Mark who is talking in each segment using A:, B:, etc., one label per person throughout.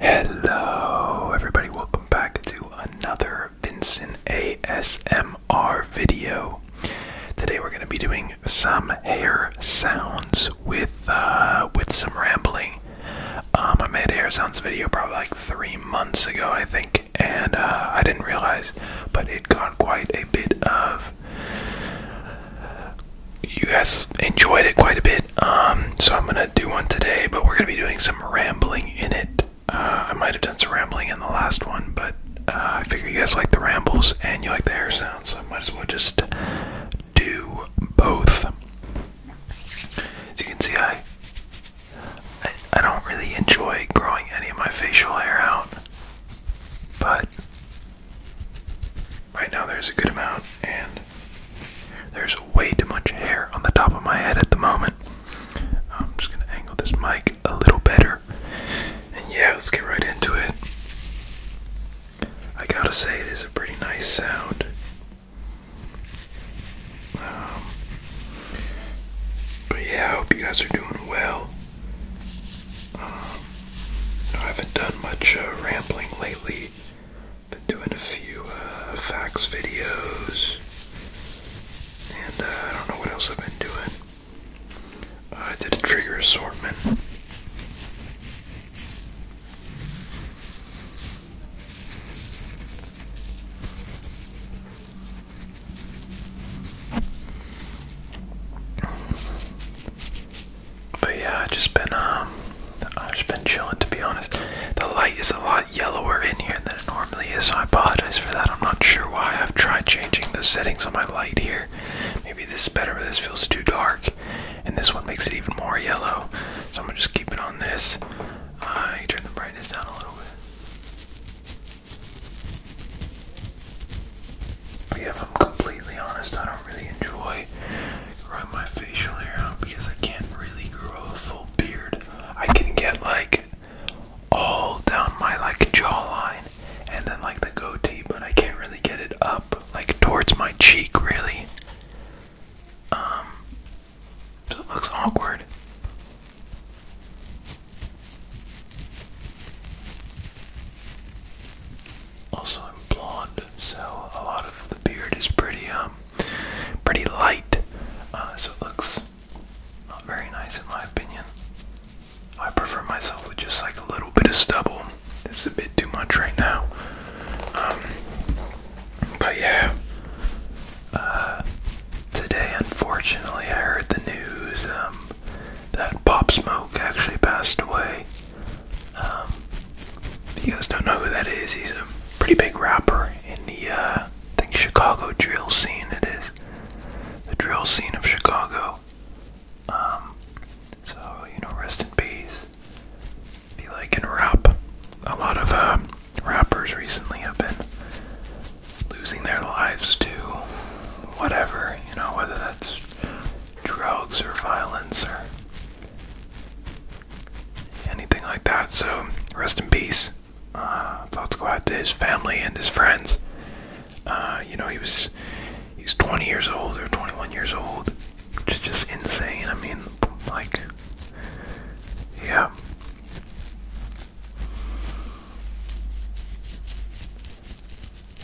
A: Hello, everybody, welcome back to another Vincent ASMR video. Today, we're going to be doing some hair sounds with uh, with some rambling. Um, I made a hair sounds video probably like three months ago, I think, and uh, I didn't realize, but it got quite a bit of you guys enjoyed it quite a bit. Um, so I'm gonna do one today, but we're gonna be doing some rambling in it. Uh, I might have done some rambling in the last one, but uh, I figure you guys like the rambles and you like the hair sounds, so I might as well just do both. As you can see, I, I don't really enjoy growing any of my facial hair out, but Right now, there's a good amount, and there's way too much hair on the top of my head at the moment. I'm just gonna angle this mic a little better. And yeah, let's get right into it. I gotta say, it is a pretty nice sound. Um, but yeah, I hope you guys are doing well. I haven't done much uh, rambling lately. Been doing a few uh, facts videos, and uh, I don't know what else I've been doing. Uh, I did a trigger assortment. But yeah, I just been um, I've just been chilling to be honest. The light is a lot yellower in here than it normally is, so I apologize for that. I'm not sure why. I've tried changing the settings on my light here. Maybe this is better, but this feels too dark, and this one makes it even more yellow. So I'm gonna just keep it on this. I uh, turn the brightness down a little bit if I'm completely honest, I don't really enjoy growing my facial hair out because I can't really grow a full beard. I can get like all down my like jawline and then like the goatee, but I can't really get it up like towards my cheek really. Um so it looks awkward. Also, I'm blonde, so a lot of the beard is pretty, um, pretty light. Uh, so it looks not very nice in my opinion. I prefer myself with just like a little bit of stubble. It's a bit too much right now. Um, but yeah, uh, today unfortunately I heard the news. Um, that Pop Smoke actually passed away. if um, you guys don't know who that is, he's a pretty big rapper in the uh, I think Chicago drill scene. It is the drill scene of Chicago. Um, so you know, rest in peace. Be like in rap, a lot of uh, rappers recently have been losing their lives to whatever you know, whether that's drugs or violence or anything like that. So, rest in peace. Uh, thoughts go out to his family and his friends. Uh, you know, he was he's 20 years old or 21 years old, which is just insane. I mean, like, yeah.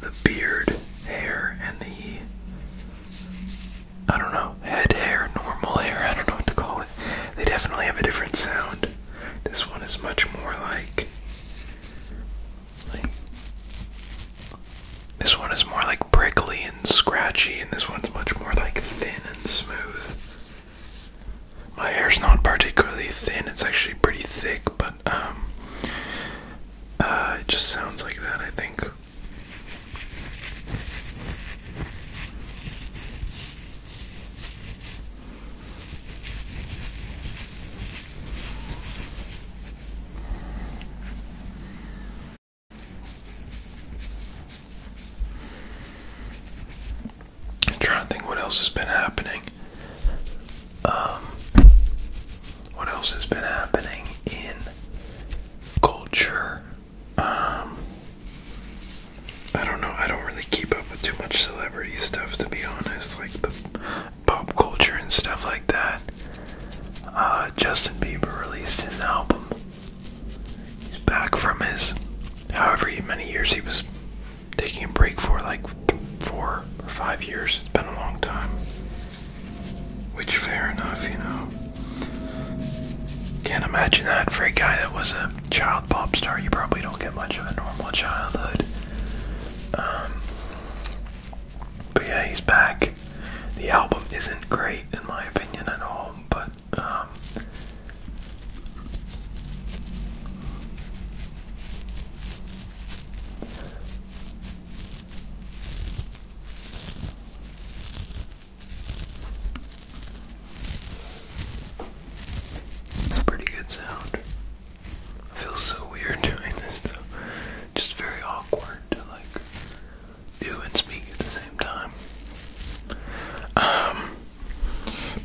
A: the beard hair and the I don't know head hair, normal hair. I don't know what to call it. They definitely have a different sound. This one is much more like like. This one is more like prickly and scratchy, and this one's much more like thin and smooth. My hair's not particularly thin, it's actually pretty thick, but um, uh, it just sounds like that, I think. I'm trying to think what else has been happening. Um, what else has been happening in culture? Um, I don't know. I don't really keep up with too much celebrity stuff, to be honest. Like the pop culture and stuff like that. Uh, Justin Bieber released his album. He's back from his however many years he was taking a break for like four or five years. It's been a long time. Which, fair enough, you know. Can't imagine that for a guy that was a child pop star. You probably don't get much of a normal childhood. Um, but yeah, he's back. The album isn't great in my opinion at all, but um, it's a pretty good sound. I so weird doing this though. Just very awkward to like do and speak at the same time. Um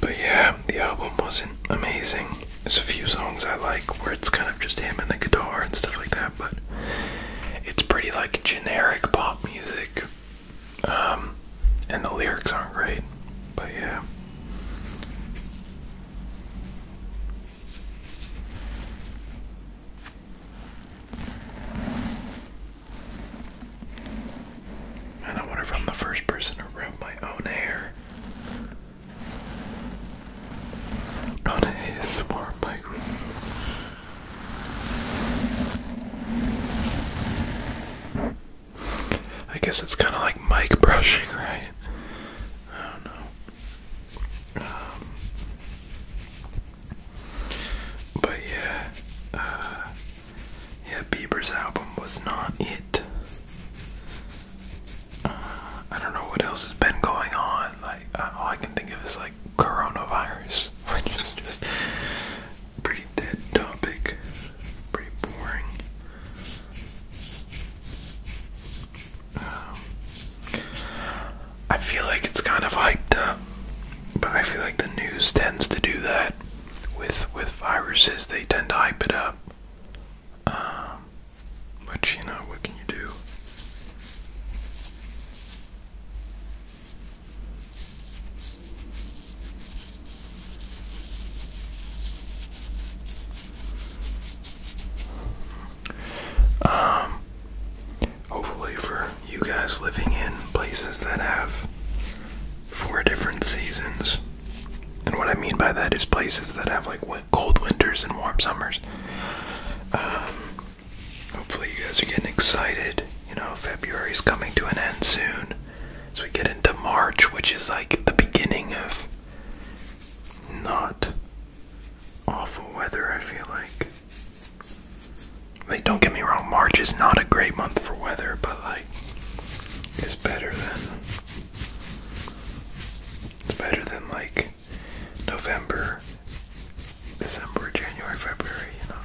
A: but yeah, the album wasn't amazing. There's a few songs I like where it's kind of just him and the guitar and stuff like that, but it's pretty like generic pop music. Um, and the lyrics aren't great, but yeah. And I wonder if I'm the first person to rub my own hair. On a ASMR microphone. I guess it's kind of like mic brushing, right? I don't know. Um, but yeah, uh, yeah, Bieber's album was not it. Uh, I don't know what else has been going on. Like uh, all I can think of is like coronavirus, which is just pretty dead topic, pretty boring. Um, I feel like it's kind of hyped up, but I feel like the news tends to do that with with viruses they tend to hype it up um, but you know what can you do um, hopefully for you guys living in places that have four different seasons. And what I mean by that is places that have like cold winters and warm summers. Um, hopefully, you guys are getting excited. You know, February is coming to an end soon. So we get into March, which is like the beginning of not awful weather, I feel like. Like, don't get me wrong, March is not a great month for weather, but like is better than it's better than like November, December, January, February, you know.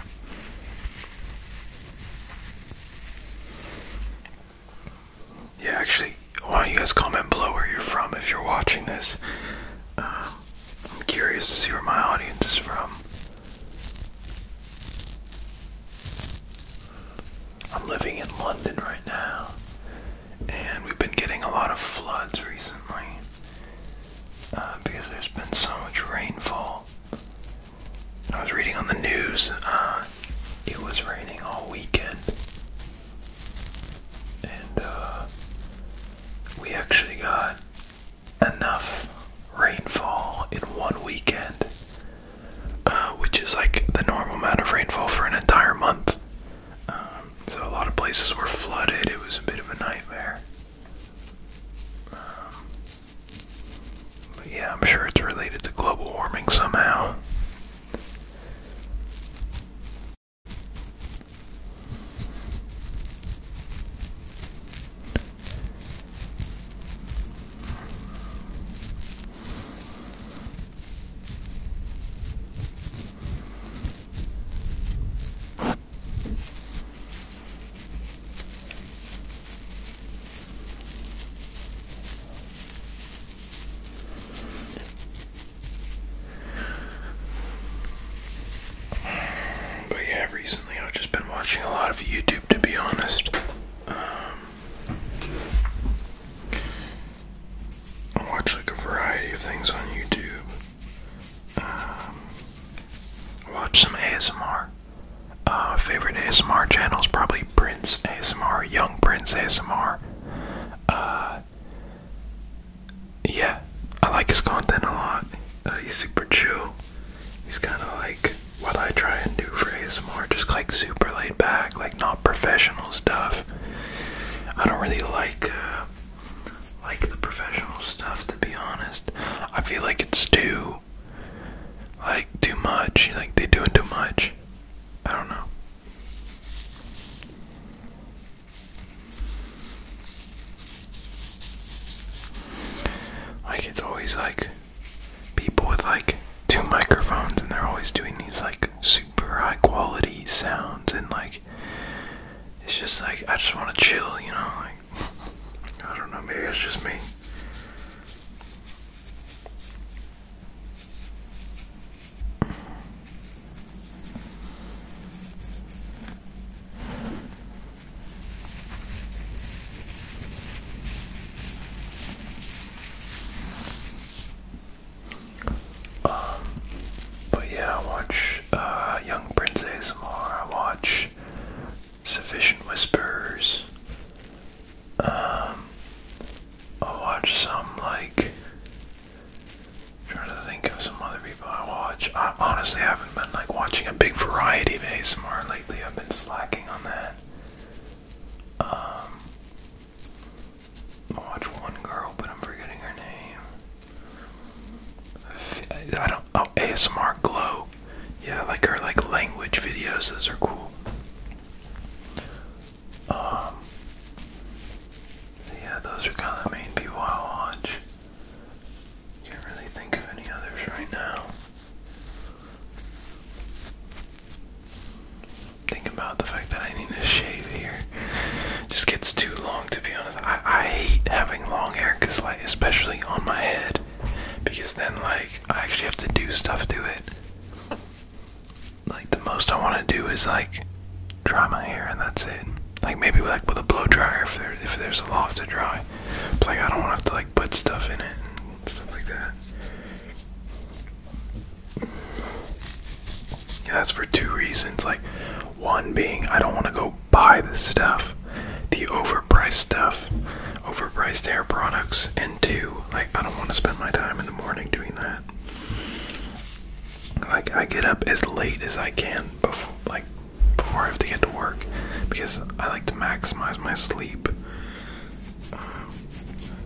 A: Yeah, actually, why don't you guys comment below where you're from if you're watching this? Um, I'm curious to see where my audience is from. I'm living in London right now, and we've been getting a lot of floods recently uh, because there's been so much rainfall. I was reading on the news, uh, it was raining all weekend, and uh, we actually got enough rainfall in one weekend, uh, which is like the normal amount of rainfall for an entire month. Um, so a lot of places were flooded. It was a bit of a nightmare. Um, but yeah, I'm sure it's related to global warming somehow. But yeah, recently I've just been watching a lot of YouTube, to be honest. Um, I watch like a variety of things on YouTube. Um, watch some ASMR. Uh, favorite ASMR channel is probably Prince ASMR, Young Prince ASMR. Uh, yeah, I like his content a lot he's super chill. He's kind of like what I try and do for more just like super laid back, like not professional stuff. I don't really like uh, like the professional stuff to be honest. I feel like it's too like too much. Like they doing too much. I don't know. Like it's always like people with like two microphones and they're always doing these like super high quality sounds and like it's just like I just want to chill, you know, like I don't know, maybe it's just me. Um, but yeah, I watch uh, Young Prince ASMR, I watch Sufficient Whispers, um, I watch some like, trying to think of some other I watch. I honestly haven't been like watching a big variety of ASMR lately. I've been slacking on that. Um, I watch one girl, but I'm forgetting her name. I don't. Oh, ASMR Glow. Yeah, like her like language videos. Those are cool. Um, yeah, those are kind of the main people I watch. Can't really think of any others right now. Think about the fact that I need to shave here. Just gets too long to be honest. I, I hate having long hair because like especially on my head. Because then like I actually have to do stuff to it. Like the most I wanna do is like drama here and that's it. Like maybe like with a blow dryer if there if there's a lot to dry. like I don't want to have to like put stuff in it and stuff like that. Yeah, that's for two reasons. Like one being I don't want to go buy the stuff, the overpriced stuff, overpriced hair products, and two, like I don't want to spend my time in the morning doing that. Like I get up as late as I can before, like before I have to get to work because I like to maximize my sleep.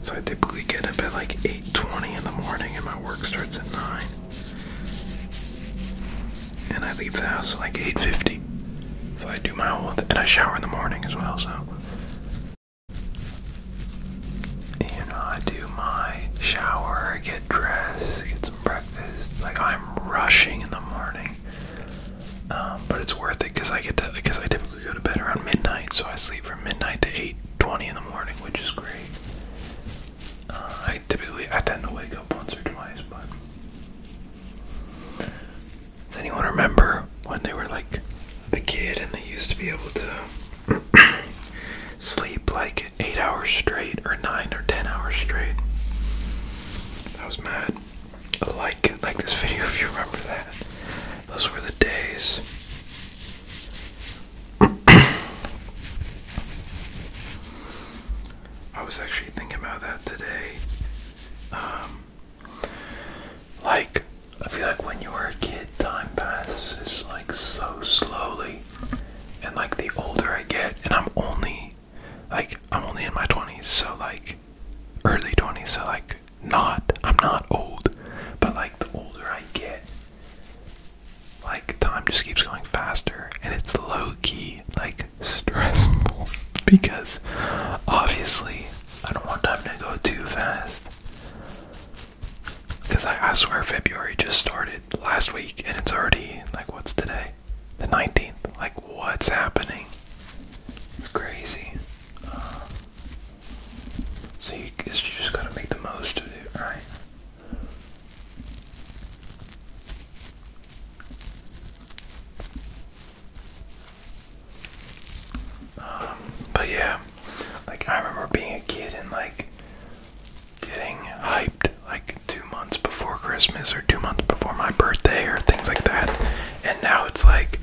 A: so I typically get up at like 8:20 in the morning and my work starts at 9. And I leave the house like 8:50. So I do my whole and I shower in the morning as well, so and I do my shower, get dressed, breakfast. Like I'm rushing in the morning, um, but it's worth it because I get to because I typically go to bed around midnight, so I sleep from midnight to eight twenty in the morning, which is great. Uh, I typically I tend to wake up once or twice, but. Does anyone remember when they were like a kid and they used to be able to sleep like eight hours straight or nine or ten hours straight. I was mad. Like like this video if you remember that. Those were the days. I was actually thinking about that today. Um, like, I feel like when you were a kid, time passes like so slowly. And like the older I get, and I'm only like I'm only in my 20s, so like early 20s, so like not I'm not old, but like the older I get, like time just keeps going faster, and it's low key like stressful because obviously I don't want time to go too fast. Because I, swear February just started last week and it's already, like, what's today? The 19th. Like, what's happening? It's crazy. Uh, so you, just gotta make the most of it, right? Um, but yeah, like I remember being a kid and like getting hyped like two months before Christmas or two months before my birthday or things like that. And now it's like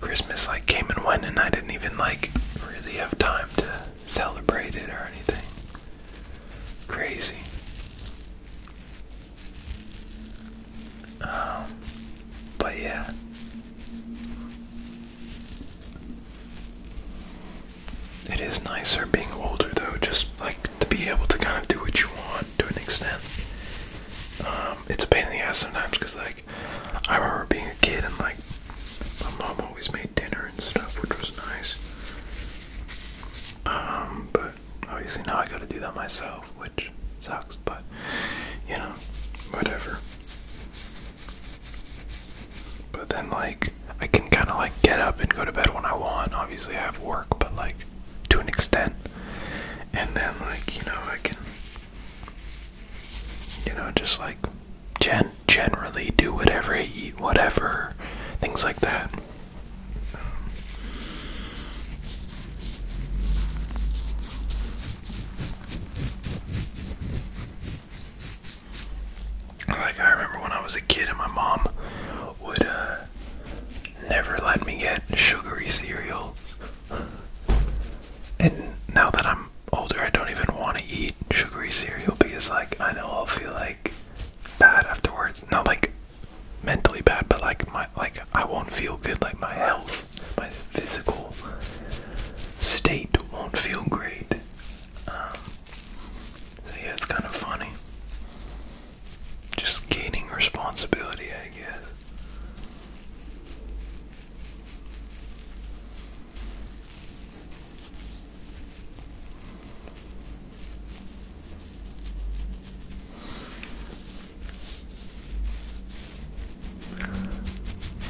A: Christmas like came and went and I didn't even like really have time to celebrate it or anything. Crazy. Um but yeah. It is nicer being older though, just like to be able to kind of do what you want to an extent. Um, it's a pain in the ass sometimes because, like, I remember being a kid and, like, my mom always made dinner and stuff, which was nice. Um, but obviously now I gotta do that myself, which sucks, but, you know, whatever. But then, like, I can kind of like get up and go to bed when I want. Obviously, I have work, but like to an extent. And then, like, you know, I can, you know, just like gen generally do whatever, eat whatever, things like that. Like I remember when I was a kid and my mom would uh, never let me get sugary cereal. And now that I'm older, I don't even want to eat sugary cereal because like I know I'll feel like bad afterwards. Not like mentally bad, but like my like I won't feel good like my health, my physical state won't feel great. Um, so yeah, it's kind of funny. Just gaining responsibility, I guess.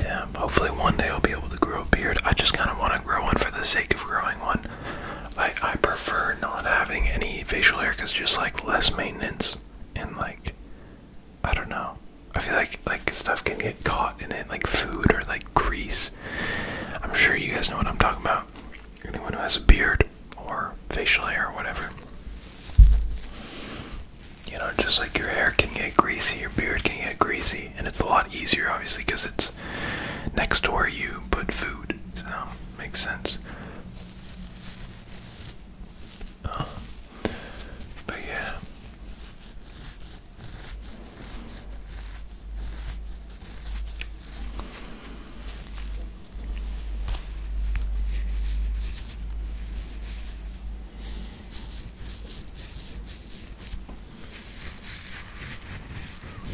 A: Yeah, hopefully one day I'll be able to grow a beard. I just kind of want to grow one for the sake of growing one. Like I prefer not having any facial hair because just like less maintenance and like I don't know. I feel like like stuff can get caught in it, like food or like grease. I'm sure you guys know what I'm talking about. Anyone who has a beard or facial hair or whatever you know, just like your hair can get greasy, your beard can get greasy, and it's a lot easier, obviously, because it's next to where you put food. So, makes sense. Uh, but yeah.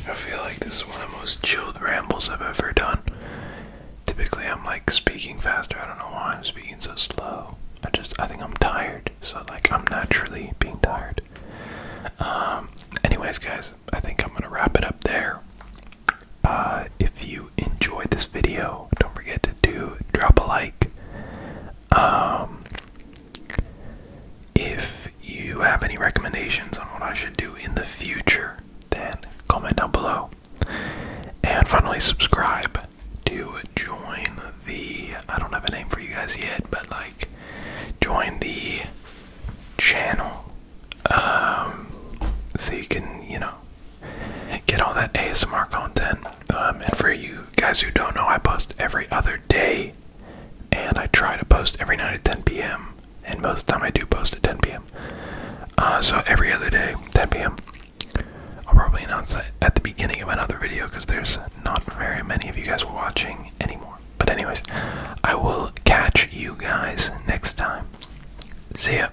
A: I feel like this is one of the most chilled rambles I've ever done. Typically, I'm like speaking faster. I don't know why I'm speaking so slow. I just, I think I'm tired. So, like, I'm naturally being tired. Um, anyways, guys, I think I'm gonna wrap it up there. Uh, if you you enjoyed this video, don't forget to do drop a like. Um, if you have any recommendations on what I should do in the future, then comment down below. And finally, subscribe to join the. I don't have a name for you guys yet, but like, join the channel um, so you can, you know, get all that ASMR content. Um, and for you guys who don't know, I post every other day, and I try to post every night at 10 p.m. And most of the time, I do post at 10 p.m. Uh, so every other day, 10 p.m. I'll probably announce that at the beginning of another video because there's not very many of you guys watching anymore. But anyways, I will catch you guys next time. See ya.